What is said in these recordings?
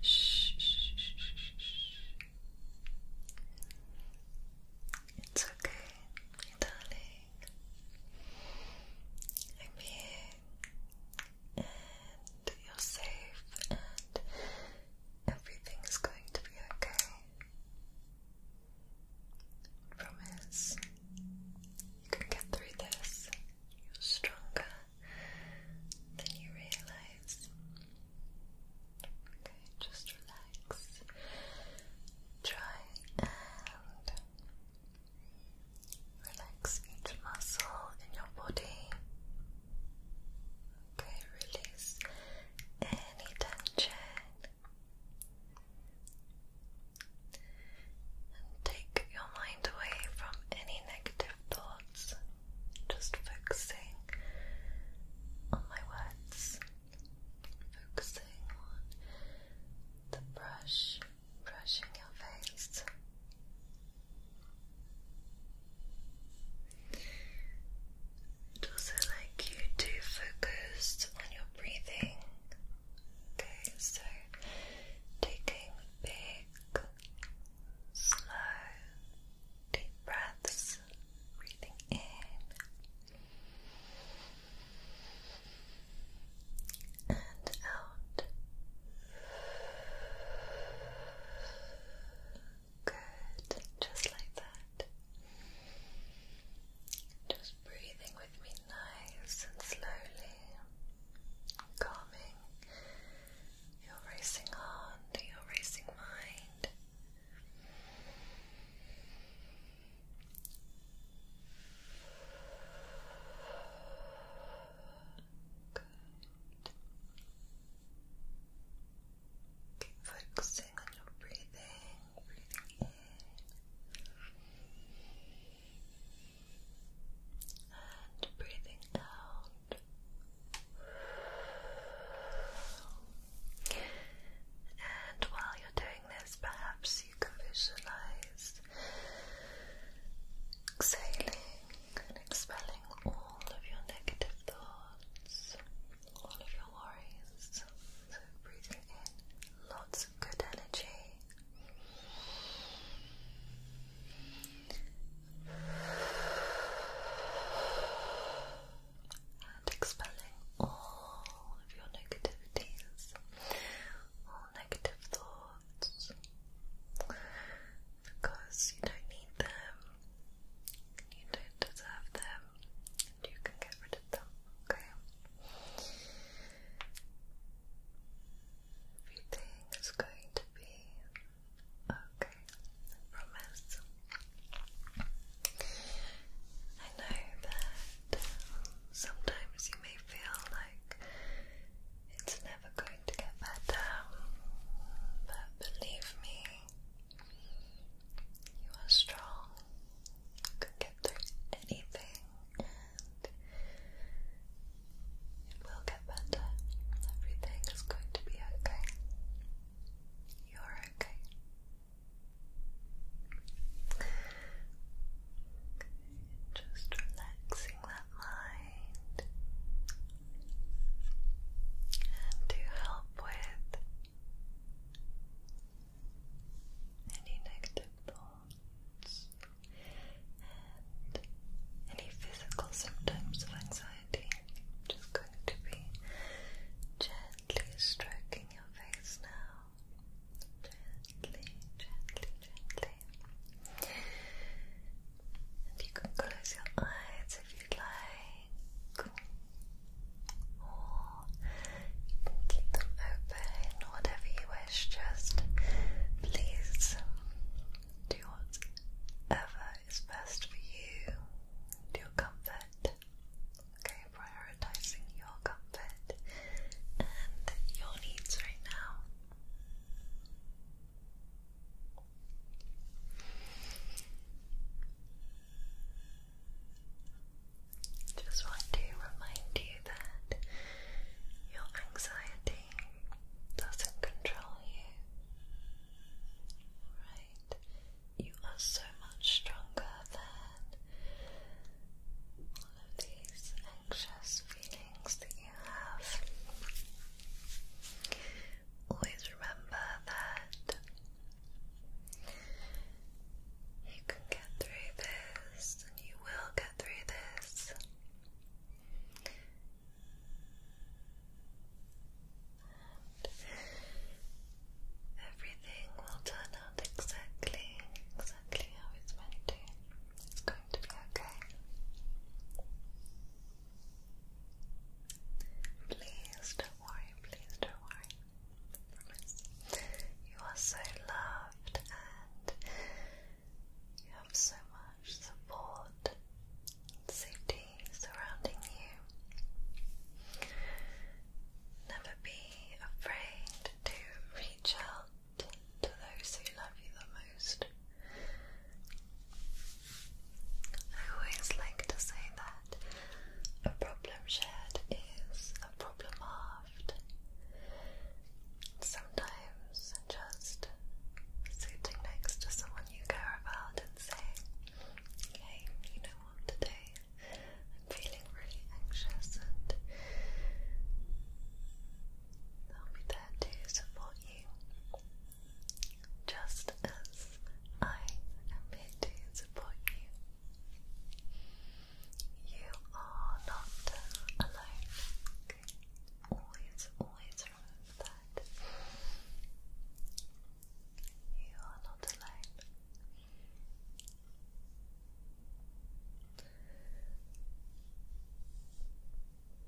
Shh, It's okay, my darling. I'm here, and you're safe, and everything's going to be okay. Promise you can get through this. You're stronger than you realize. Okay, just relax. Try and relax each muscle in your body. Okay, release any tension. And take your mind away from any negative thoughts, just focusing on my words, focusing on the brush brushing your face. i also like you to focus on your breathing. Okay, so taking big, slow, deep breaths, breathing in. And out. Good. Just like that. Just breathing with me nice and slowly, calming your racing heart, your racing mind. Good. Keep focusing on your breathing, and breathing out. And while you're doing this, perhaps you can visualize exhaling and expelling all of your negative thoughts all of your worries. So breathing in lots of good energy. And expelling all of your negativities, all negative thoughts, because you don't need them, you don't deserve them, you can get rid of them, okay? Everything is going to be okay, I promise. I know that um, sometimes you may feel like it's never going to get better, but believe me, you are strong, you get through anything, it will get better. Everything is going to be okay. You're okay. Just relaxing that mind. And to help with any negative thoughts, and any physical symptoms of anxiety. just going to be gently stroking your face now. Gently, gently, gently. And you can close your eyes if you'd like or you keep them open, whatever you wish. Just please do whatever is best for you, do your comfort. Okay, prioritizing your comfort and your needs right now. Just want to remind you that your anxiety doesn't control you. Right? You are so much stronger than all of these anxious feelings that you have. Always remember that you can get through this, and you will get through this. everything will turn out exactly, exactly how it's meant to. It's going to be okay. Please don't worry, please don't worry. You are so loved and you have so much support and safety surrounding you. Never be afraid to reach out to those who love you the most. I always like to say that a problem shared is a problem halved. Sometimes just sitting next to someone you care about and saying, Hey, you know what, today I'm feeling really anxious and I'll be there to support you just as I am here to support you. You are not alone. Always, always remember that. You are not alone.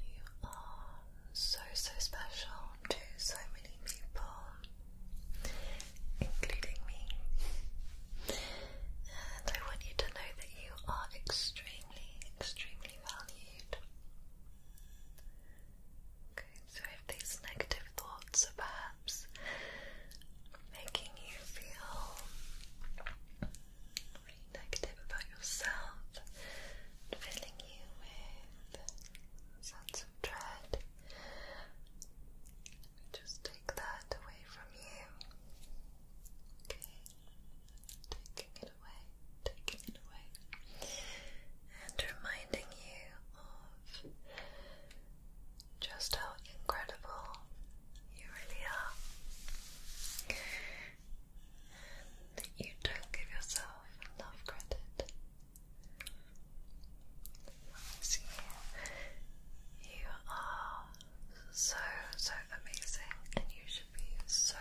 You are so, so special to so many people, including me. And I want you to know that you are extremely, extremely valued. Okay, so if these negative thoughts are perhaps making you feel negative about yourself, filling you with sense of dread. Just take that away from you. Okay, taking it away, taking it away, and reminding you of just how incredible you really are. And you don't give yourself enough credit you are so, so amazing, and you should be so,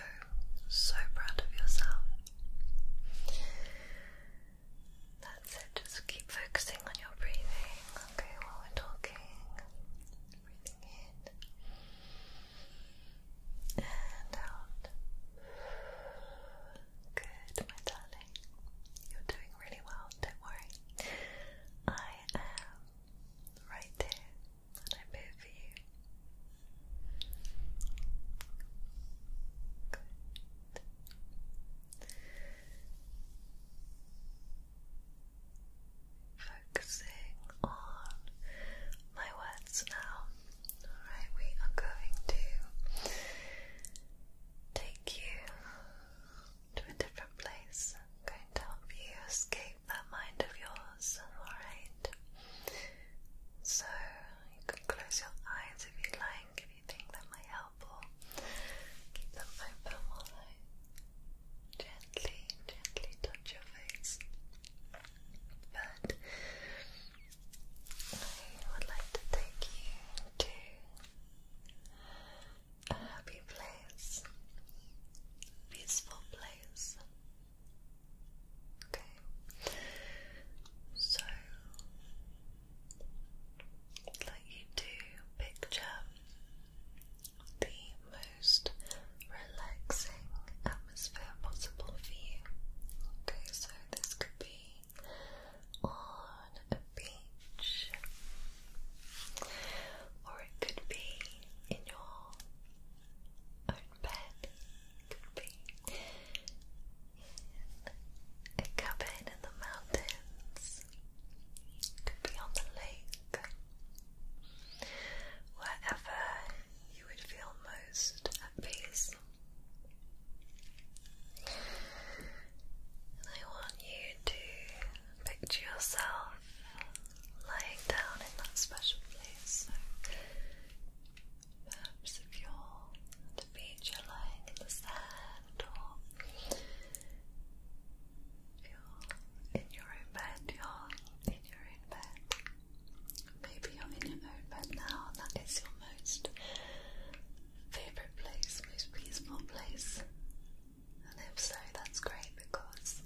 so proud of yourself. That's it, just keep focusing on your breathing, okay, while we're talking. Breathing in and out. Good, my darling. You're doing really well, don't worry. I am right here and I'm here for you. Good. Focusing on my words now. Alright, we are going to take you to a different place. going to help you escape that mind of yours, alright? So, you can close your eyes if you like, if you think that might help, or keep them open while I gently, gently touch your face. But I would like to take you to a happy place, peaceful place. Okay, so i you to picture the most relaxing atmosphere possible for you. Okay, so this could be on a beach, or it could be in your own bed. could be in a cabin in the mountains. could be on the lake. Wherever you would feel most piece. I want you to picture yourself lying down in that special place. perhaps if you're at the you're lying in the sand, or if you're in your own bed, you're in your own bed. Maybe you're in your own bed now, that is your most favourite place, most peaceful place. And if so, that's great because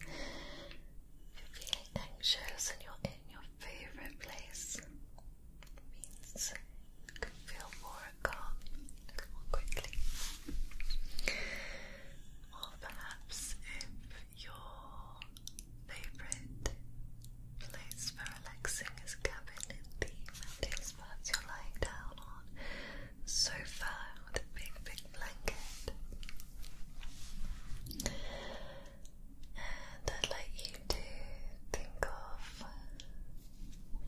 you're feeling anxious and you're in your favourite place. It means you can feel more calm, more quickly. Or perhaps your favorite place for relaxing is cabin in the mountain spots you're lying down on sofa with a big big blanket and I'd like you to think of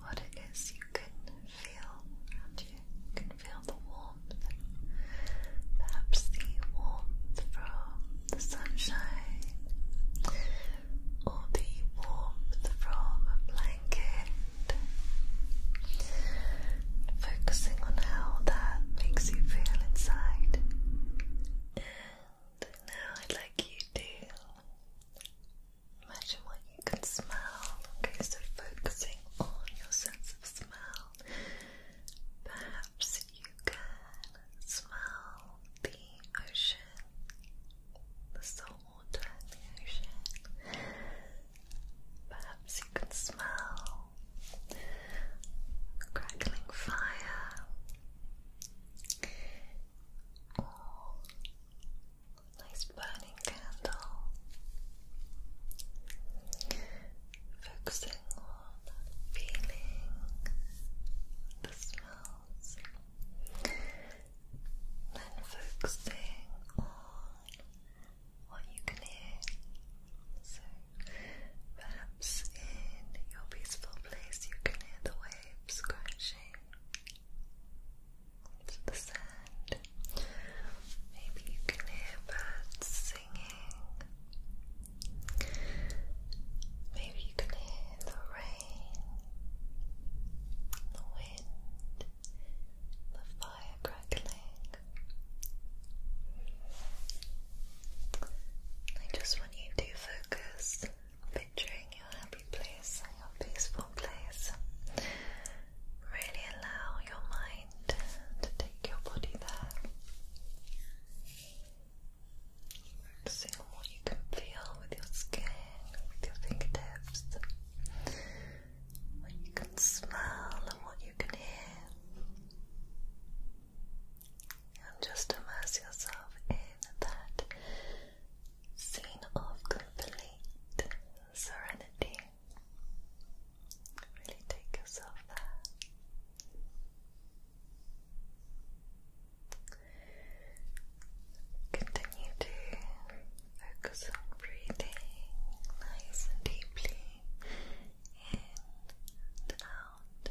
what it is you can feel around you. You can feel the warmth perhaps the warmth from the sunshine, or the warmth from a blanket. Focusing on how that makes you feel inside. And now I'd like you to imagine what you can smell. Okay, so focusing on your sense of smell. Perhaps you can smell the ocean, the salt water the ocean. Perhaps you can smell crackling fire or a nice burning candle. Focusing tingled feeling, the smells, then focusing on what you can hear. So perhaps in your peaceful place you can hear the waves crashing into the sand. Maybe you can hear birds singing. Maybe you can hear the rain, the wind, the fire crackling. I just want you to focus, picturing your happy place, your peaceful place. Really allow your mind to take your body there. Noticing what you can feel with your skin, with your fingertips, what you can smell and what you can hear. And just immerse yourself in that scene of complete serenity. Really take yourself there. Continue to focus on breathing nice and deeply in and out.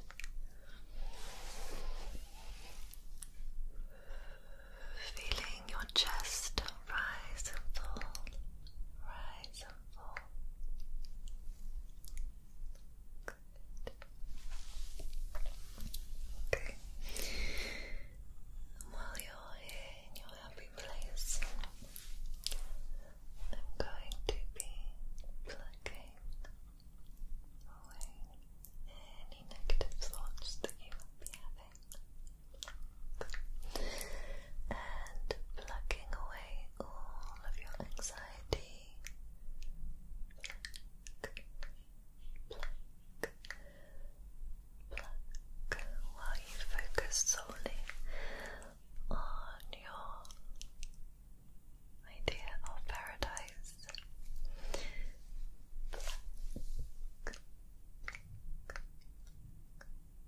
Feeling your chest rise and fall, rise and beautiful. Okay. While you're here in your happy place, I'm going to be plucking away any negative thoughts that you might be having. And plucking away all of your anxiety. while you focus solely on your idea of paradise.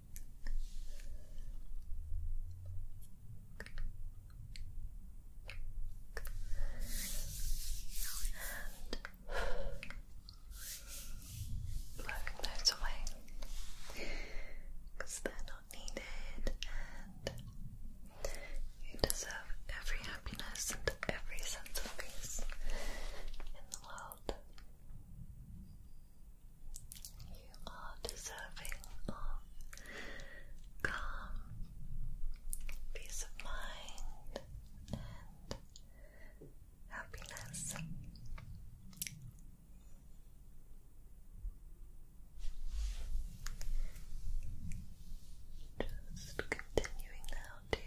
blowing those away they're not needed and you deserve every happiness and every sense of peace in the world. You are deserving of calm, peace of mind, and happiness. Just continuing now to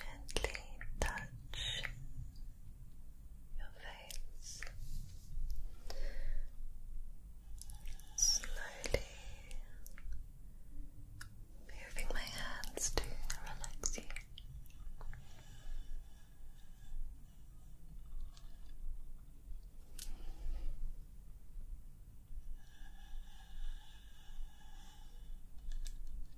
gently touch your face slowly moving my hands to relax you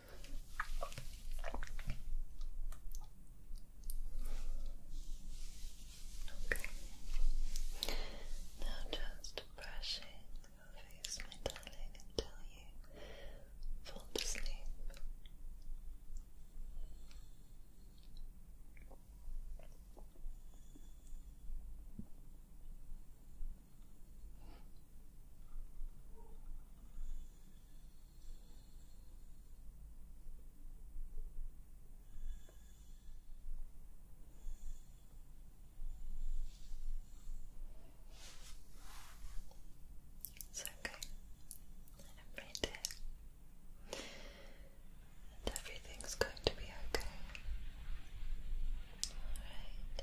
Okay. Now just brushing your face, my darling, until you fall asleep. It's okay. Every day. And everything's going to be okay. Alright.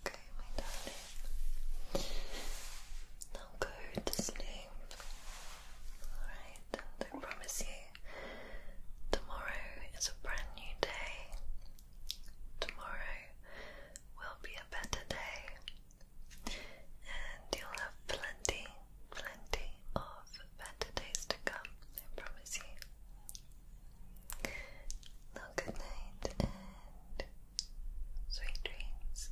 Okay, my darling. Now go to sleep. Alright, I promise you, tomorrow is a brand new day. Tomorrow will be a better day and you'll have plenty, plenty of better days to come, I promise you. Now, good night and sweet dreams.